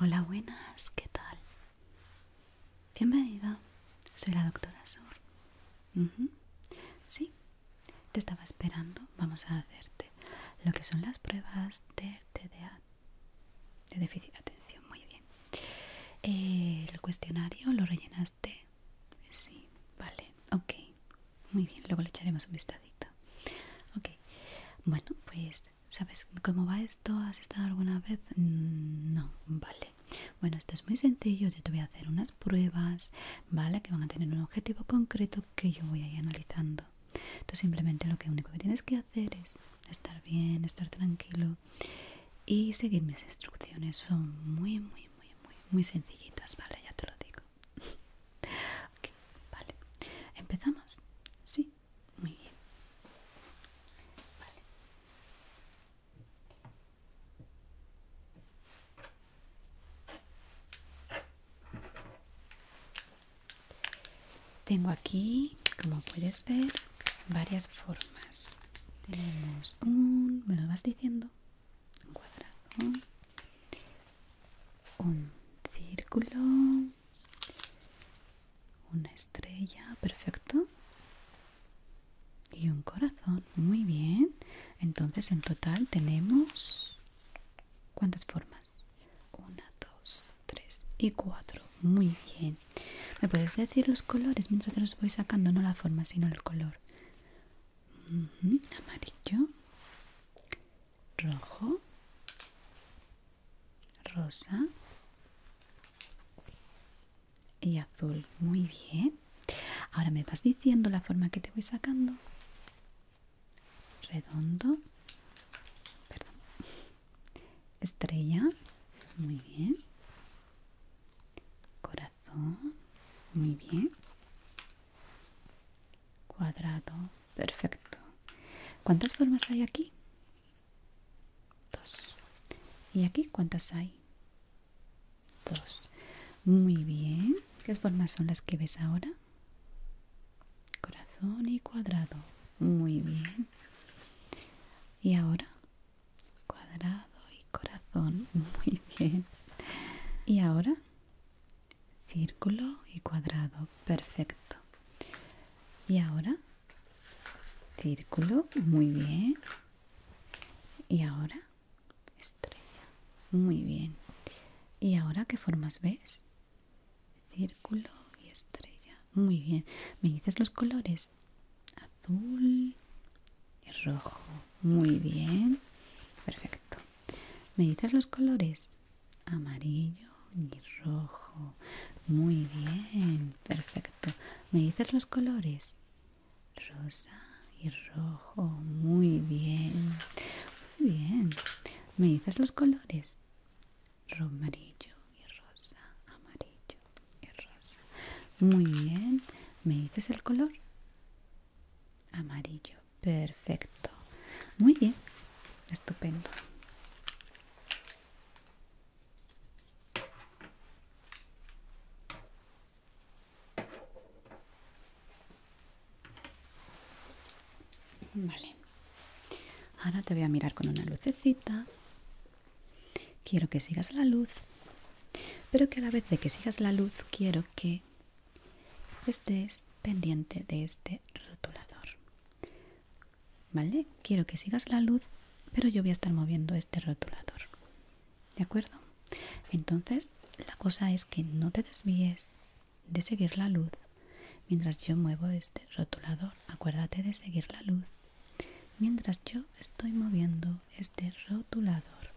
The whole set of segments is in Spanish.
Hola, buenas, ¿qué tal? Bienvenida, soy la doctora Sur. Sí, te estaba esperando. Vamos a hacerte lo que son las pruebas de TDA, de déficit de atención. Muy bien. Eh, el cuestionario lo rellenaste sí, vale, ok, muy bien, luego le echaremos un vistadito. Ok, bueno, pues, ¿sabes cómo va esto? ¿Has estado alguna vez? Mm, no, vale. Bueno, esto es muy sencillo, yo te voy a hacer unas pruebas, ¿vale? Que van a tener un objetivo concreto que yo voy a ir analizando. Tú simplemente lo único que tienes que hacer es estar bien, estar tranquilo y seguir mis instrucciones, son muy, muy muy, muy, muy, sencillitas, ¿vale? Ya te lo digo. vale. ¿Empezamos? Sí, muy bien. Vale. Tengo aquí, como puedes ver, varias formas. Tenemos un... ¿Me lo vas diciendo? un cuadrado un círculo una estrella perfecto y un corazón muy bien entonces en total tenemos cuántas formas una dos tres y cuatro muy bien me puedes decir los colores mientras los voy sacando no la forma sino el color amarillo, rojo, rosa y azul. Muy bien. Ahora me vas diciendo la forma que te voy sacando. Redondo. Estrella. Muy bien. Corazón corazón. Muy bien. Cuadrado. Perfecto. ¿Cuántas formas hay aquí? Dos. ¿Y aquí cuántas hay? Dos. Muy bien. ¿Qué formas son las que ves ahora? Corazón y cuadrado. Muy bien. ¿Y ahora? cuadrado y corazón muy bien y ahora círculo y cuadrado perfecto y ahora círculo muy bien y ahora estrella muy bien y ahora qué formas ves círculo y estrella muy bien me dices los colores azul y rojo. Muy bien. Perfecto. ¿Me dices los colores? Amarillo y rojo. Muy bien. Perfecto. ¿Me dices los colores? Rosa y rojo. Muy bien. Muy bien. ¿Me dices los colores? Amarillo y rosa. Amarillo y rosa. Muy bien. ¿Me dices el color? Amarillo. Perfecto. Muy bien. Estupendo. Vale. Ahora te voy a mirar con una lucecita. Quiero que sigas la luz pero que a la vez de que sigas la luz quiero que estés pendiente de este rotulador. ¿Vale? Quiero que sigas la luz, pero yo voy a estar moviendo este rotulador. ¿De acuerdo? Entonces, la cosa es que no te desvíes de seguir la luz mientras yo muevo este rotulador. Acuérdate de seguir la luz mientras yo estoy moviendo este rotulador,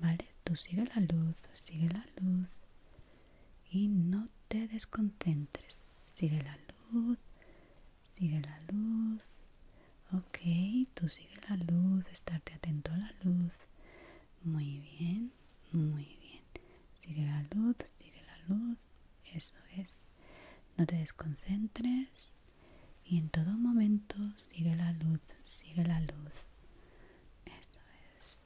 ¿vale? Tú sigue la luz, sigue la luz y no te desconcentres. Sigue la luz, sigue la luz. Ok, tú sigue la luz, estarte atento a la luz. Muy bien, muy bien. Sigue la luz, sigue la luz. Eso es. No te desconcentres y en todo momento sigue la luz, sigue la luz. Eso es.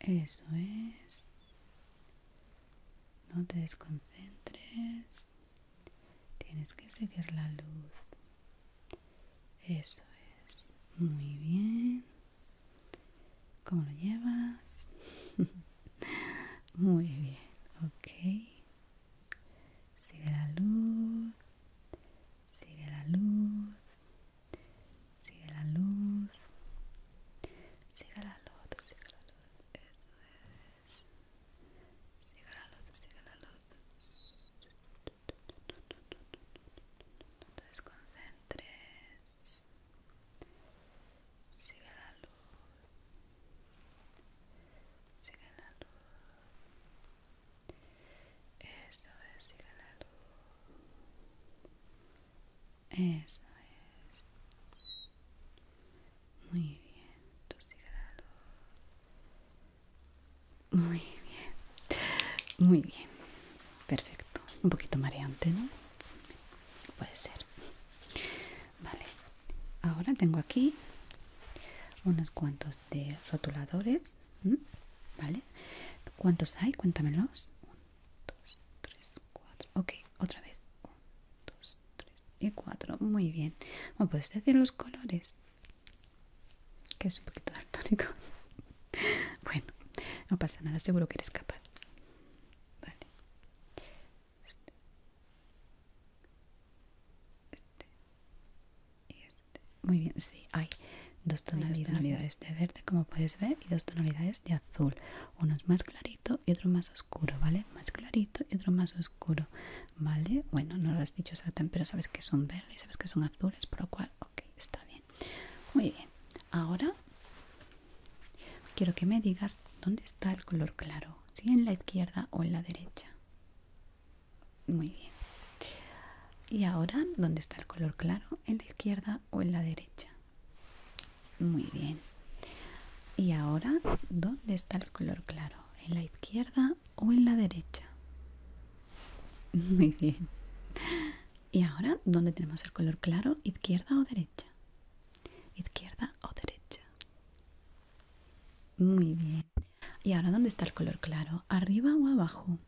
Eso es. No te desconcentres. Tienes que seguir la luz. Eso es. Muy bien. ¿Cómo lo llevas? Muy bien, ok. Sigue la luz, sigue la luz, sigue la luz, sigue la luz, sigue la luz, eso es. Sigue la luz, sigue la luz. No te desconcentres. Sigue la luz. Sigue la luz. Eso es, sigue la luz. Eso es. Muy bien, tú sigue la luz. Muy bien. Muy bien. Perfecto. Un poquito mareante, ¿no? puede ser vale ahora tengo aquí unos cuantos de rotuladores vale cuántos hay cuéntamelos 1 2 3 4 ok otra vez 1 2 3 y 4 muy bien ¿Me puedes decir los colores que es un poquito daltónico bueno no pasa nada seguro que eres capaz este. Este. Este. Muy bien, sí, hay dos tonalidades, de verde, como puedes ver, y dos tonalidades de azul. Uno es más clarito y otro más oscuro, ¿vale? Más clarito y otro más oscuro, ¿vale? Bueno, no lo has dicho exactamente, pero sabes que son verdes y sabes que son azules, por lo cual, ok, está bien. Muy bien. Ahora Quiero que me digas dónde está el color claro, si en la izquierda o en la derecha. Muy bien. Y ahora, ¿dónde está el color claro? ¿En la izquierda o en la derecha? Muy bien. Y ahora, ¿dónde está el color claro? ¿En la izquierda o en la derecha? Muy bien. Y ahora, ¿dónde tenemos el color claro? ¿Izquierda o derecha? ¿Izquierda o derecha? Muy bien. ¿Y ahora dónde está el color claro? ¿Arriba o abajo?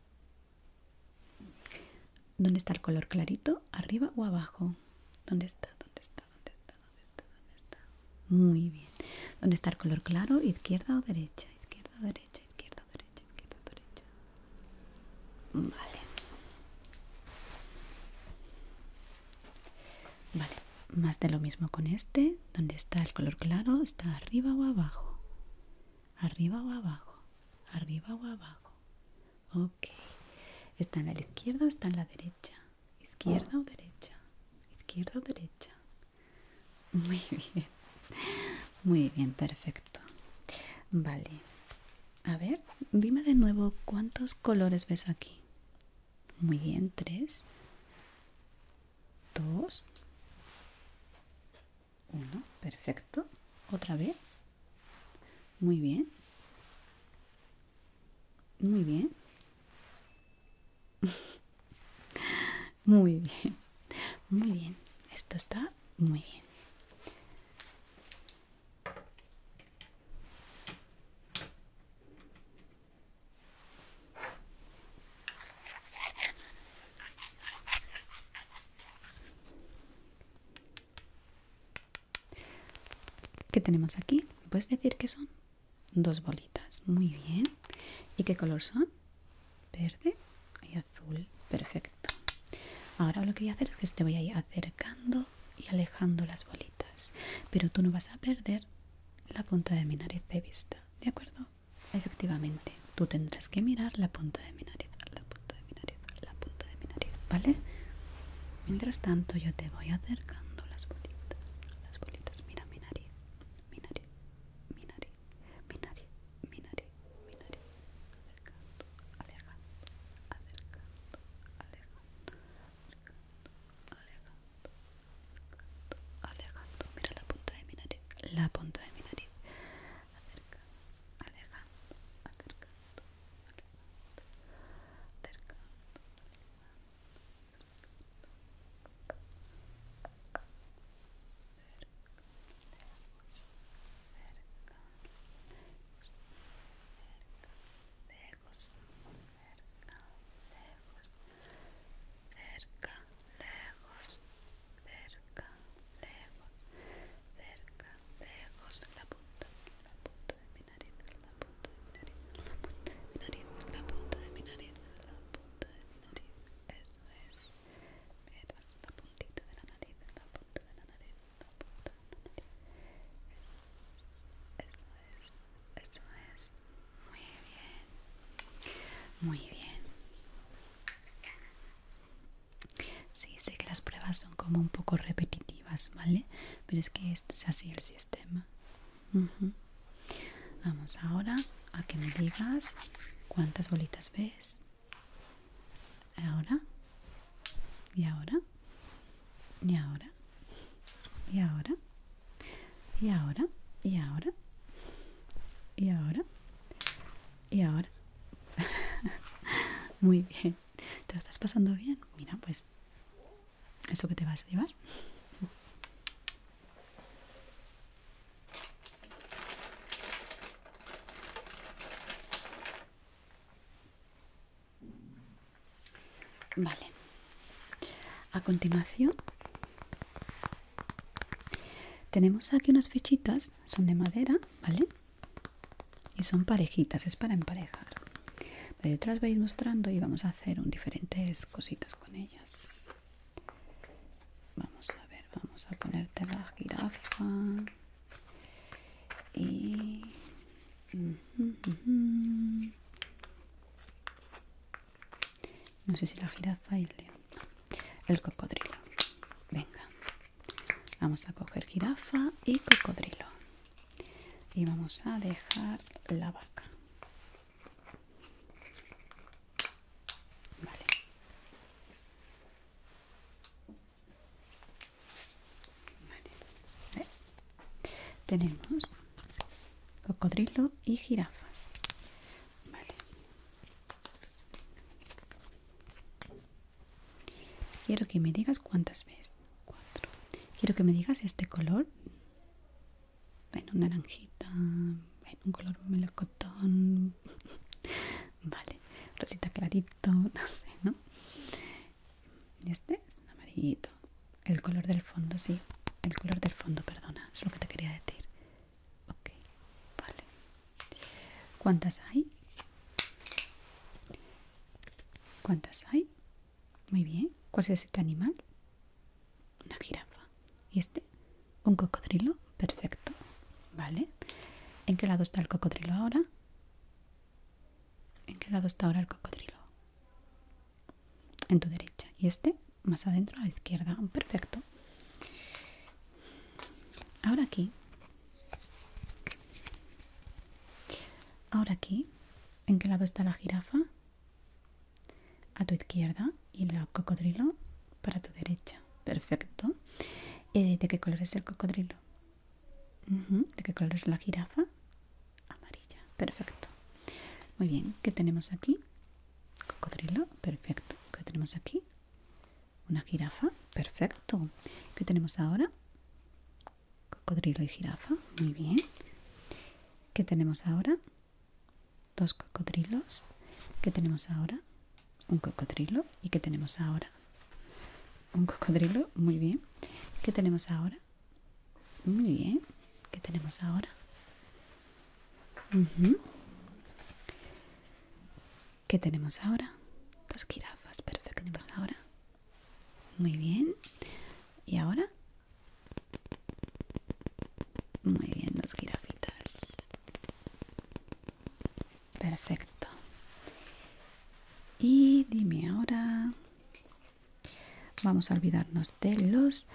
¿Dónde está el color clarito? ¿Arriba o abajo? ¿Dónde está? ¿Dónde está? ¿Dónde está? está? Muy bien. ¿Dónde está el color claro? ¿Izquierda o derecha? ¿Izquierda derecha? ¿Izquierda derecha? ¿Izquierda o derecha? Vale. Vale, más de lo mismo con este. Donde está el color claro, está arriba o abajo. Arriba o abajo. Arriba o abajo. Ok. ¿Está en la izquierda o está en la derecha? ¿Izquierda o derecha? ¿Izquierda o derecha? Muy bien. Muy bien, perfecto. Vale. A ver, dime de nuevo cuántos colores ves aquí. Muy bien, tres, dos, uno, perfecto. Otra vez. Muy bien. Muy bien. muy bien. Muy bien. Esto está muy bien. ¿Qué tenemos aquí? ¿Puedes decir que son? Dos bolitas, muy bien. ¿Y qué color son? Verde y azul, perfecto ahora lo que voy a hacer es que te voy a ir acercando y alejando las bolitas pero tú no vas a perder la punta de mi nariz de vista de acuerdo efectivamente tú tendrás que mirar la punta de mi nariz la punta de mi nariz la punta de mi nariz vale mientras tanto yo te voy acercando las bolitas las bolitas mira mi nariz mi nariz mi nariz mi nariz mi nariz mi nariz acercando, alejando, Mira la punta de mi nariz, la punta de mi nariz lejos, cerca, lejos, cerca, lejos, cerca, lejos, cerca, lejos, la punta, la punta de mi nariz, la punta de mi nariz, la punta de mi nariz, la punta de mi nariz, la punta de mi nariz, eso es, la puntita de la nariz, la punta de la nariz. Eso es, eso es. Muy bien. Muy bien. Sí, sé que las pruebas son como un poco repetitivas, ¿vale? Pero es que este es así el sistema. Vamos ahora a que me digas cuántas bolitas ves ahora y ahora y ahora y ahora y ahora y ahora y ahora y ahora muy bien te lo estás pasando bien mira pues eso que te vas a llevar Vale. A continuación tenemos aquí unas fichitas, son de madera, ¿vale? Y son parejitas, es para emparejar. Pero yo te las voy mostrando y vamos a hacer diferentes cositas con ellas. Vamos a ver, vamos a ponerte la jirafa. Y... No sé si la jirafa y el El cocodrilo. Venga. Vamos a coger jirafa y cocodrilo. Y vamos a dejar la vaca. Vale. Tenemos cocodrilo y jirafas. Vale. Quiero que me digas cuántas ves. Cuatro. Quiero que me digas este color. Bueno, naranjita. un color melocotón. vale. Rosita clarito. No sé, ¿no? este es un amarillito. El color del fondo, sí. El color del fondo, perdona. Es lo que te quería decir. Ok, vale. ¿Cuántas hay? ¿Cuántas hay? Muy bien. ¿Cuál es este animal? Una jirafa. ¿Y este? Un cocodrilo. Perfecto. Vale. ¿En qué lado está el cocodrilo ahora? ¿En qué lado está ahora el cocodrilo? En tu derecha. Y este más adentro a la izquierda. Perfecto. Ahora aquí. Ahora aquí. ¿En qué lado está la jirafa? A tu izquierda. Y el cocodrilo para tu derecha. Perfecto. Eh, ¿De qué color es el cocodrilo? ¿De qué color es la jirafa? Amarilla, perfecto. Muy bien, ¿qué tenemos aquí? Cocodrilo, perfecto. ¿Qué tenemos aquí? Una jirafa, perfecto. ¿Qué tenemos ahora? Cocodrilo y jirafa, muy bien. ¿Qué tenemos ahora? Dos cocodrilos. ¿Qué tenemos ahora? Un cocodrilo. ¿Y qué tenemos ahora? Un cocodrilo, muy bien. ¿Qué tenemos ahora? Muy bien. ¿Qué tenemos ahora? ¿Qué tenemos ahora? Dos jirafas, perfecto. ¿Tenemos ahora? Muy bien. ¿Y ahora? Muy bien, dos jirafitas. Perfecto. Y dime ahora, vamos a olvidarnos de los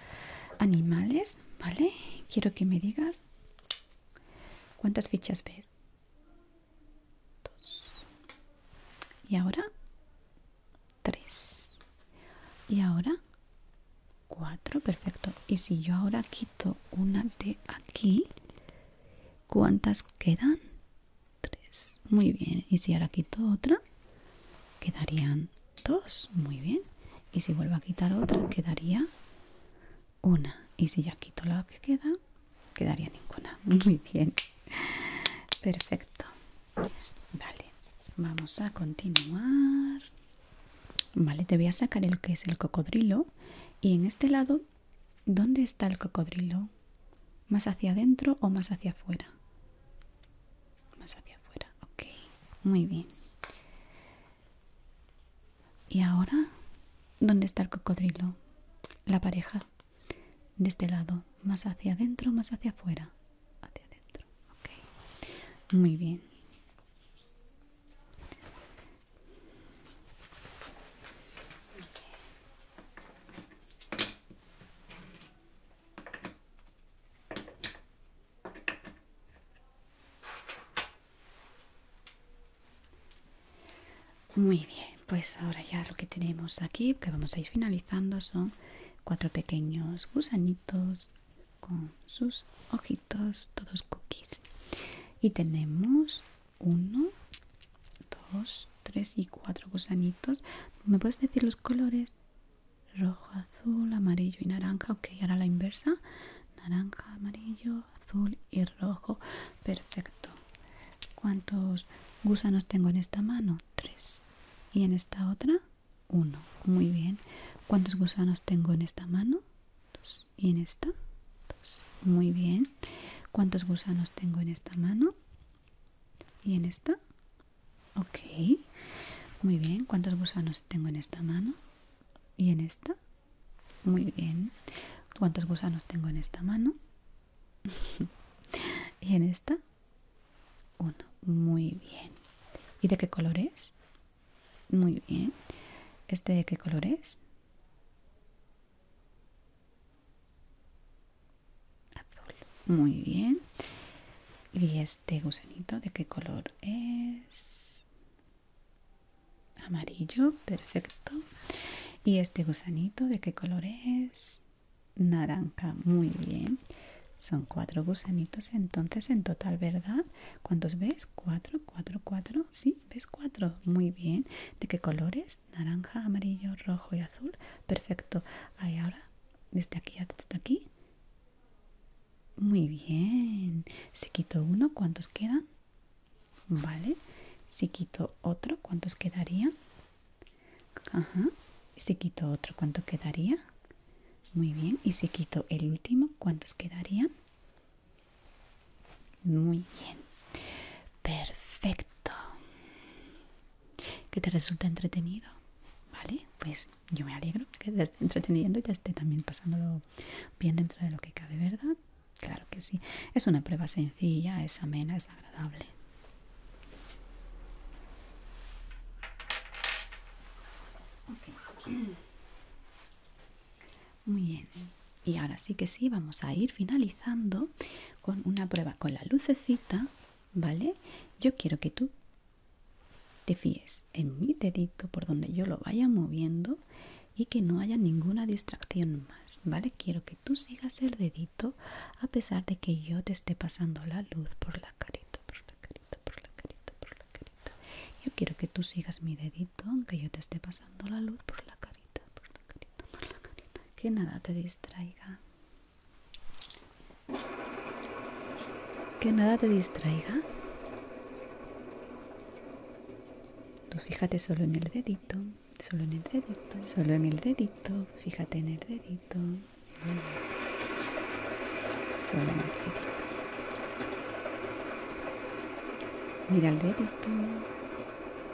animales, ¿vale? Quiero que me digas cuántas fichas ves. Dos. Y ahora, tres. Y ahora, cuatro. Perfecto. Y si yo ahora quito una de aquí, ¿cuántas quedan? tres muy bien y si ahora quito otra quedarían dos muy bien y si vuelvo a quitar otra quedaría una y si ya quito la que queda quedaría ninguna muy bien perfecto vale vamos a continuar vale te voy a sacar el que es el cocodrilo y en este lado ¿Dónde está el cocodrilo? ¿Más hacia adentro o más hacia afuera? Más hacia afuera, ok. Muy bien. ¿Y ahora? ¿Dónde está el cocodrilo? La pareja. De este lado. ¿Más hacia adentro o más hacia afuera? Hacia adentro, ok. Muy bien. Muy bien, pues ahora ya lo que tenemos aquí, que vamos a ir finalizando, son cuatro pequeños gusanitos con sus ojitos, todos cookies. Y tenemos 1, 2, 3 y cuatro gusanitos. ¿Me puedes decir los colores? Rojo, azul, amarillo y naranja. Ok, ahora la inversa. Naranja, amarillo, azul y rojo. Perfecto. ¿Cuántos gusanos tengo en esta mano? 3 ¿Y en esta otra? Uno. Muy bien. ¿Cuántos gusanos tengo en esta mano? 2 ¿Y en esta? Muy bien. ¿Cuántos gusanos tengo en esta mano? ¿Y en esta? Ok. Muy bien. ¿Cuántos gusanos tengo en esta mano? ¿Y en esta? Muy bien. ¿Cuántos gusanos tengo en esta mano? ¿Y en esta? Uno. Muy bien. ¿Y de qué color es? Muy bien. ¿Este de qué color es? Azul. Muy bien. ¿Y este gusanito de qué color es? Amarillo. Perfecto. ¿Y este gusanito de qué color es? Naranja. Muy bien. Son cuatro gusanitos entonces en total, ¿verdad? ¿Cuántos ves? Cuatro, cuatro, cuatro. Sí, ves cuatro. Muy bien. ¿De qué colores? naranja, amarillo, rojo y azul. Perfecto. Ahí ahora, desde aquí hasta aquí. Muy bien. se quito uno, ¿cuántos quedan? Vale. Si quito otro, ¿cuántos quedarían? Ajá. Y si quito otro, ¿cuánto quedaría? Muy bien. Y si quito el último, ¿cuántos quedarían? Muy bien. Perfecto. ¿Que te resulta entretenido? Vale, pues yo me alegro que te esté entreteniendo y te esté también pasándolo bien dentro de lo que cabe, ¿verdad? Claro que sí. Es una prueba sencilla, es amena, es agradable. Muy bien. Y ahora sí que sí, vamos a ir finalizando con una prueba con la lucecita, ¿vale? Yo quiero que tú te fíes en mi dedito por donde yo lo vaya moviendo y que no haya ninguna distracción más, ¿vale? Quiero que tú sigas el dedito a pesar de que yo te esté pasando la luz por la carita, por la carita, por la carita, por la carita. Yo quiero que tú sigas mi dedito aunque yo te esté pasando la luz por la carita por la carita, por la carita. Que nada te distraiga. Que nada te distraiga. Tú fíjate solo en el dedito, solo en el dedito, solo en el dedito, fíjate en el dedito. Solo en el dedito. Mira el dedito.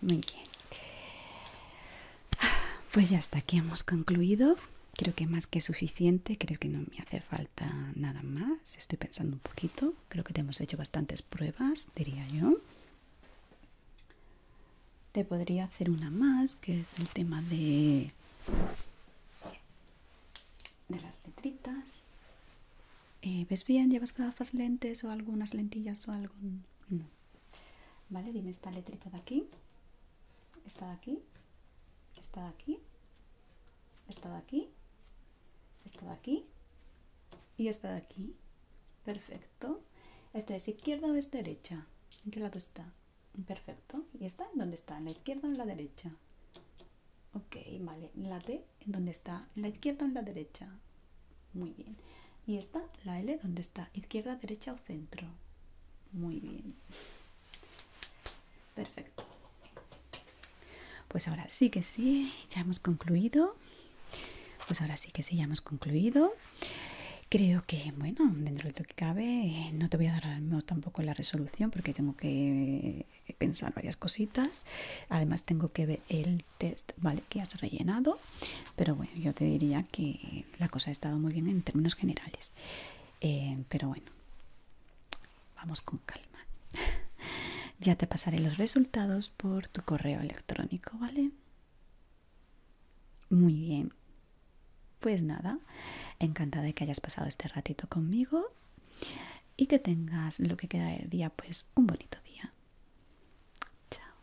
muy bien. Pues ya hasta aquí hemos concluido. Creo que más que suficiente, creo que no me hace falta nada más. Estoy pensando un poquito. Creo que te hemos hecho bastantes pruebas, diría yo. Te podría hacer una más, que es el tema de, de las letritas. Eh, ¿Ves bien? ¿Llevas gafas, lentes o algunas lentillas o algo? No. Vale, dime esta letrita de aquí. Esta de aquí. Esta de aquí. Esta de aquí. Esta de aquí. Y esta de aquí. Perfecto. Esto es izquierda o es derecha. ¿En qué lado está? Perfecto. ¿Y está? ¿Dónde está? ¿En la izquierda o en la derecha? Ok, vale. La en donde está la izquierda o en la derecha. Muy bien. Y esta, la L, donde está izquierda, derecha o centro. Muy bien. Perfecto. Pues ahora sí que sí, ya hemos concluido. Pues ahora sí que sí, ya hemos concluido. Creo que, bueno, dentro de lo que cabe, no te voy a dar tampoco la resolución porque tengo que pensar varias cositas. Además, tengo que ver el vale, que has rellenado, pero bueno, yo te diría que la cosa ha estado muy bien en términos generales. Eh, pero bueno, vamos con calma. ya te pasaré los resultados por tu correo electrónico, ¿vale? Muy bien. Pues nada, encantada de que hayas pasado este ratito conmigo y que tengas lo que queda de día, pues un bonito día. Chao.